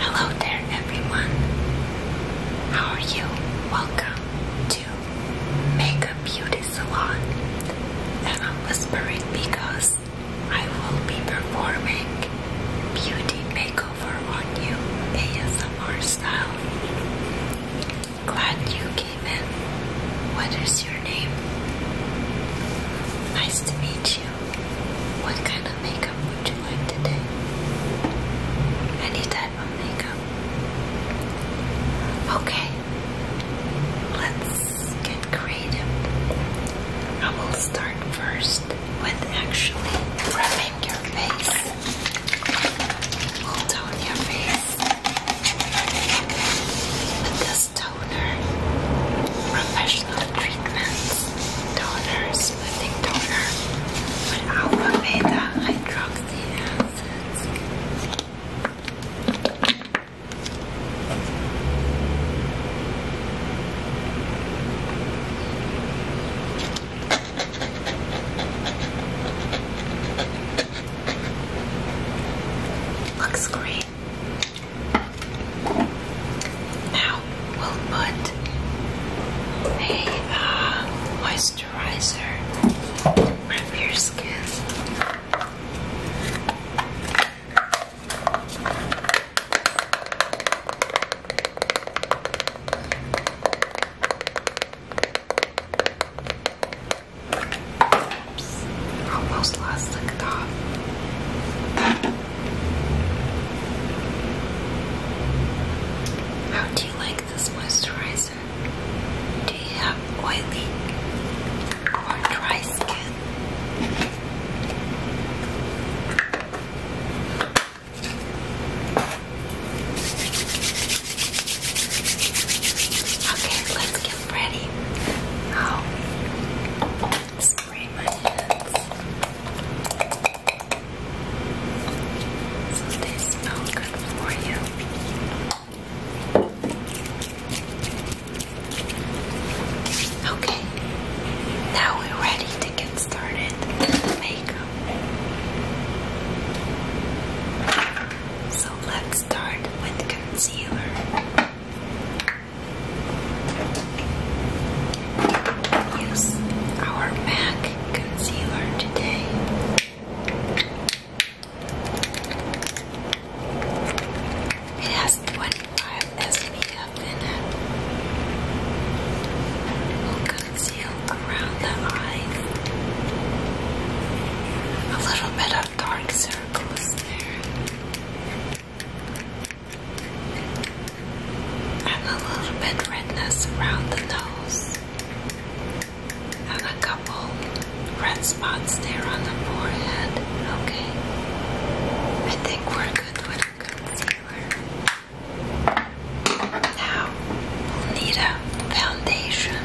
Hello there, everyone. How are you? Welcome to Mega Beauty Salon. And I'm whispering because I will be performing beauty makeover on you, ASMR style. Glad you came in. What is your name? Nice to meet you. What kind of makeup would you like today? Any type of makeup? Okay, let's get creative. I will start first with actually rubbing your face. We'll your face with this tone professional treatments, toner, smoothing toner, with alpha, beta, hydroxy acids. Looks great. Now we'll put a uh, moisturizer on your skin almost lost the thought. How do you like this moisturizer? Do you have oily or dry skin? Okay, let's get ready. Now, spray my hands. they smell good for you. Okay, now we're ready to get started with makeup. So let's start with concealer. Use our MAC concealer today. It has 25 SPF in it. will conceal around the eyes. A little bit dark circles there. And a little bit redness around the nose. And a couple red spots there on the forehead. Okay. I think we're good with concealer. Now we'll need a foundation.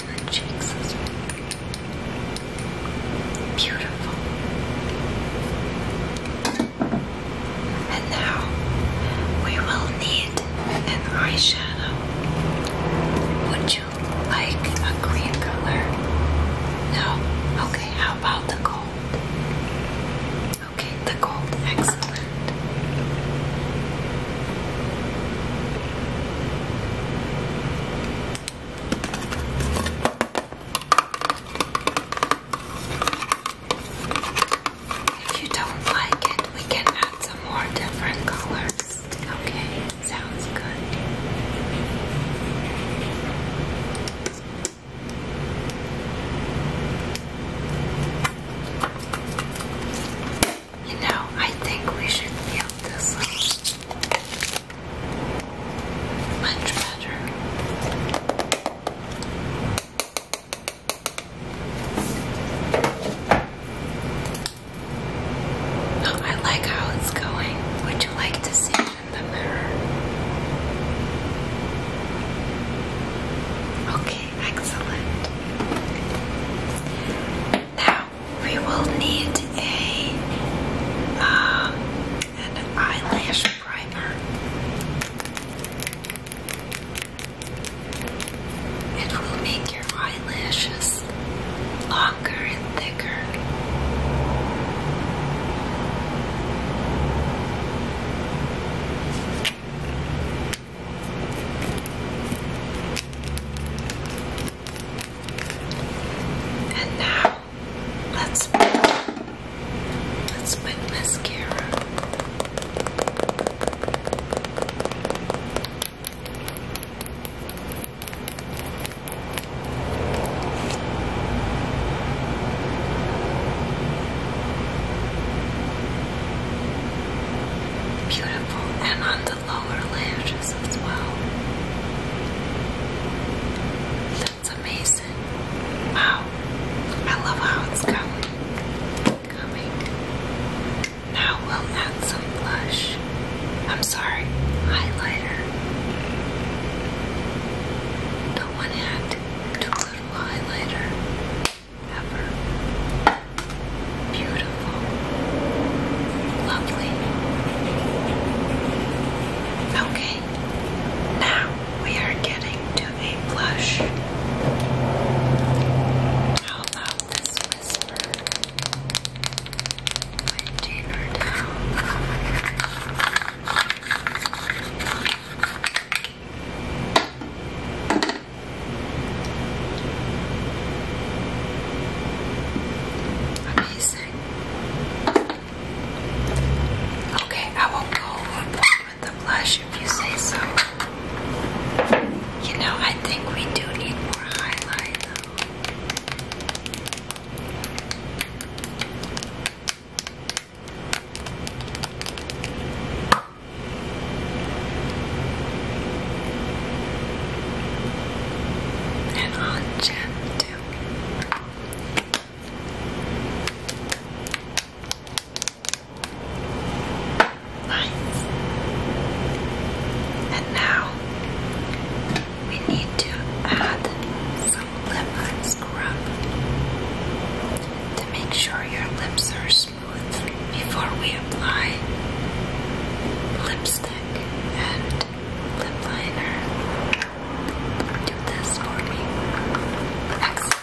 Beautiful. And now we will need an eyeshadow. Would you like a green color? No? Okay, how about the gold? Okay, the gold if you don't like it, we can add some more different colors. Okay, sounds good. You know, I think we should feel this much better. Oh, I like how it's going. Would you like to see in the mirror? Okay, excellent. Now we will need a uh, an eyelash primer. It will make your eyelashes longer and thicker. And now let's put, let's put mascara. Beautiful, and on the lower lashes as well. That's amazing. Wow, I love how it's coming. Coming. Now we'll add some blush. I'm sorry, highlighter. Don't want to little highlighter ever beautiful, lovely. Okay, now we are getting to a blush. How about this whisper? My dinner Amazing. Okay, I will go with the blush if you say so. You know, I think we do need more highlight though. And on Jim too. Nice. And now we need to add some lip scrub to make sure your lips are before we apply lipstick and lip liner. Do this for me. Excellent.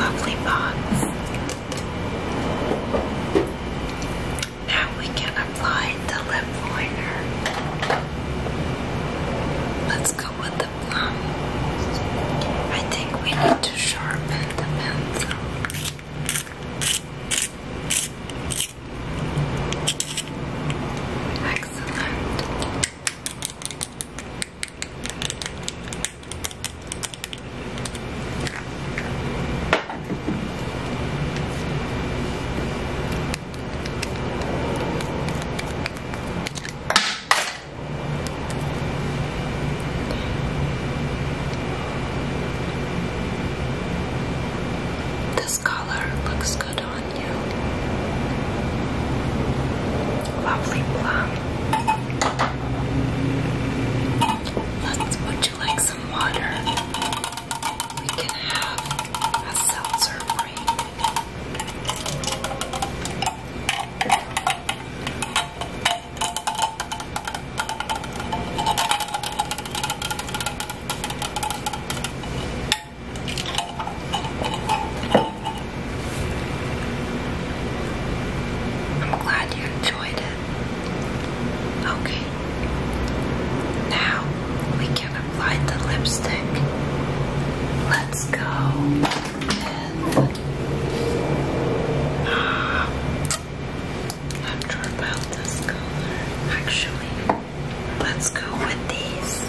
Lovely box. Now we can apply the lip liner. Let's go with the plum. I think we need to sharpen the pencil. Excellent. This color looks good. Lovely plum. would you like some water? We can have a seltzer break. I'm glad you enjoyed it. Okay. Now we can apply the lipstick. Let's go with I'm not sure about this color actually. Let's go with these.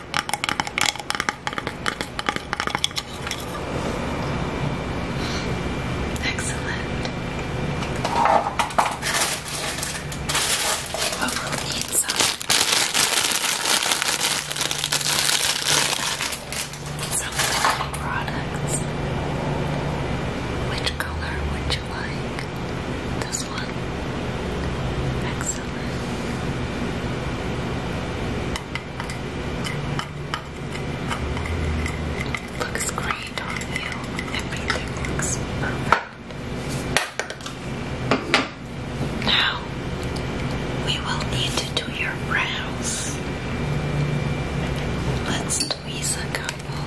Excellent. we'll need some, some products. Which color would you like? This one? Excellent. Looks great on you. Everything looks perfect. Now we will need to do your brows. Let's squeeze a couple.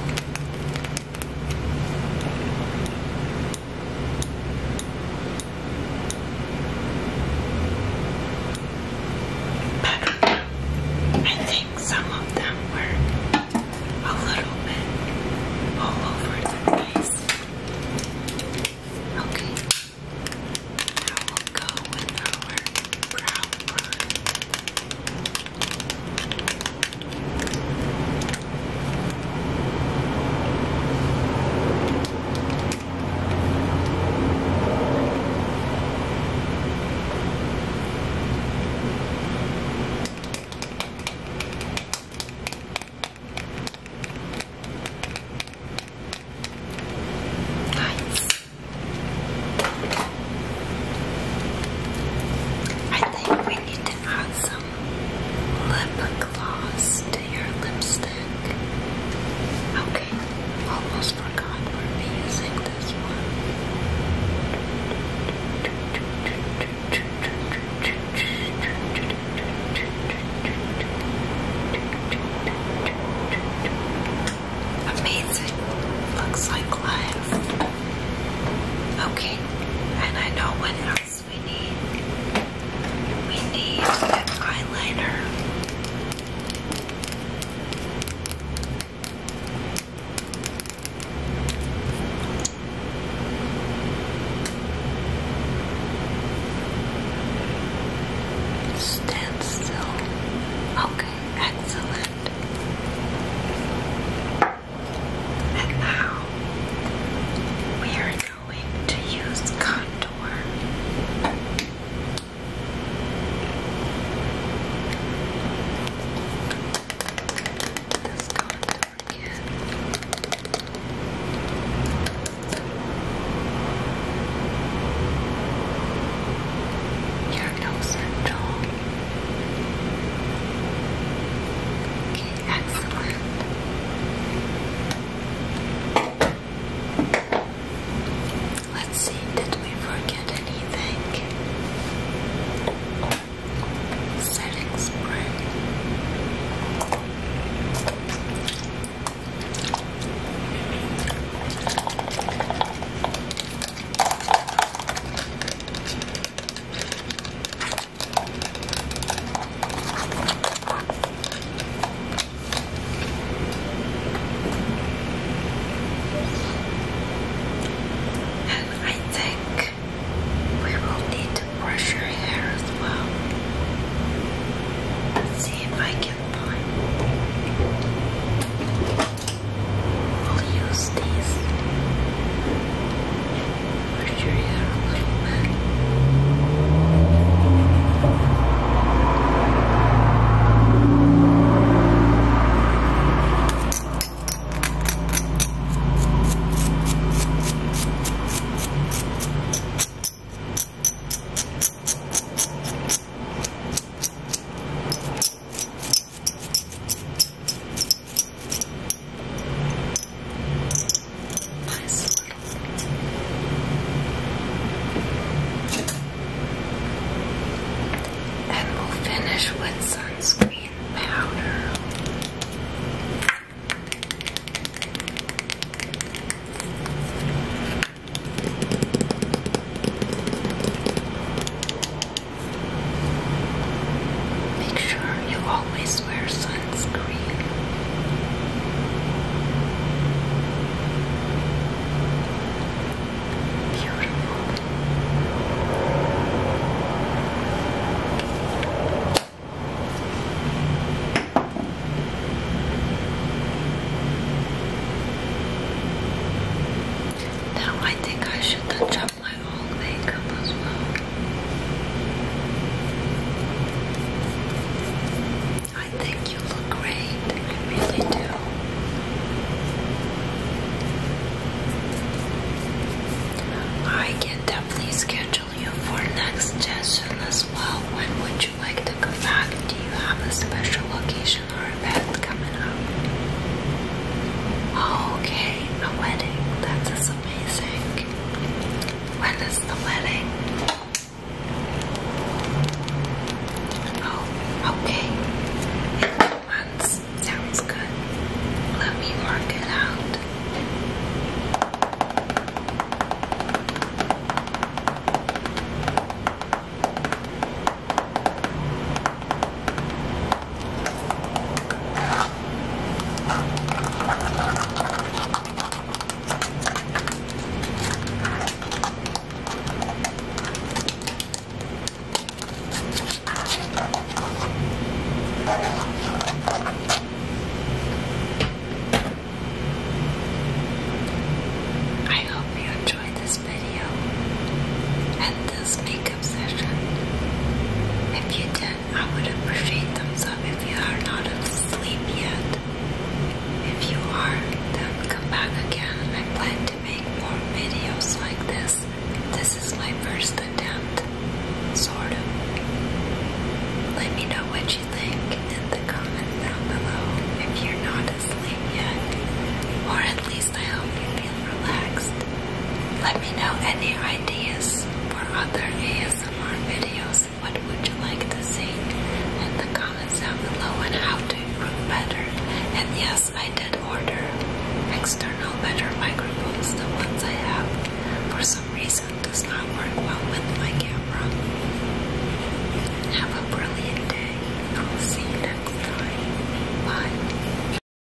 I think some of them were a little bit all over the place. Okay, now will go with our brown Nice. I think we need to add some lip gloss to your lipstick. Okay, almost forgot we're using this one. Amazing. Looks like life. Okay, and I know when else we need we need eyeliner. Stand Okay, excellent. And now we are going to use contour. This contour kit. Your nose and jaw. Okay. Excellent. Let's see, did we forget anything? Setting spray. And I think we will need to brush your hair as well. Let's see if I can find. We'll use these. Push your hair a little bit. Nice little. And we'll finish with sunscreen powder. Make sure you always wear sunscreen. Silence Creek. Beautiful. Now I think I should adjust my whole makeup as well. I think you look great. I really do. I can definitely schedule you for next session as well. When would you like to come back? Do you have a special occasion or event coming up? Oh, okay, a wedding. That's a amazing. When is the wedding? Oh, okay. In two months. Sounds good. Let me work it out. I hope you enjoyed this video and this makeup session. If you did, I would appreciate thumbs up if you are not asleep yet. If you are, then come back again. I plan to make more videos like this. This is my first attempt, sort of. Let me know what you think in the comments down below if you're not asleep yet. Or at least I hope you feel relaxed. Let me know any ideas for other ASMR videos. What would you like to see in the comments down below and how to improve better? And yes, I did order external better microphones. The ones I have for some reason does not work well with my camera. Have a brilliant day. I'll see you next time. Bye.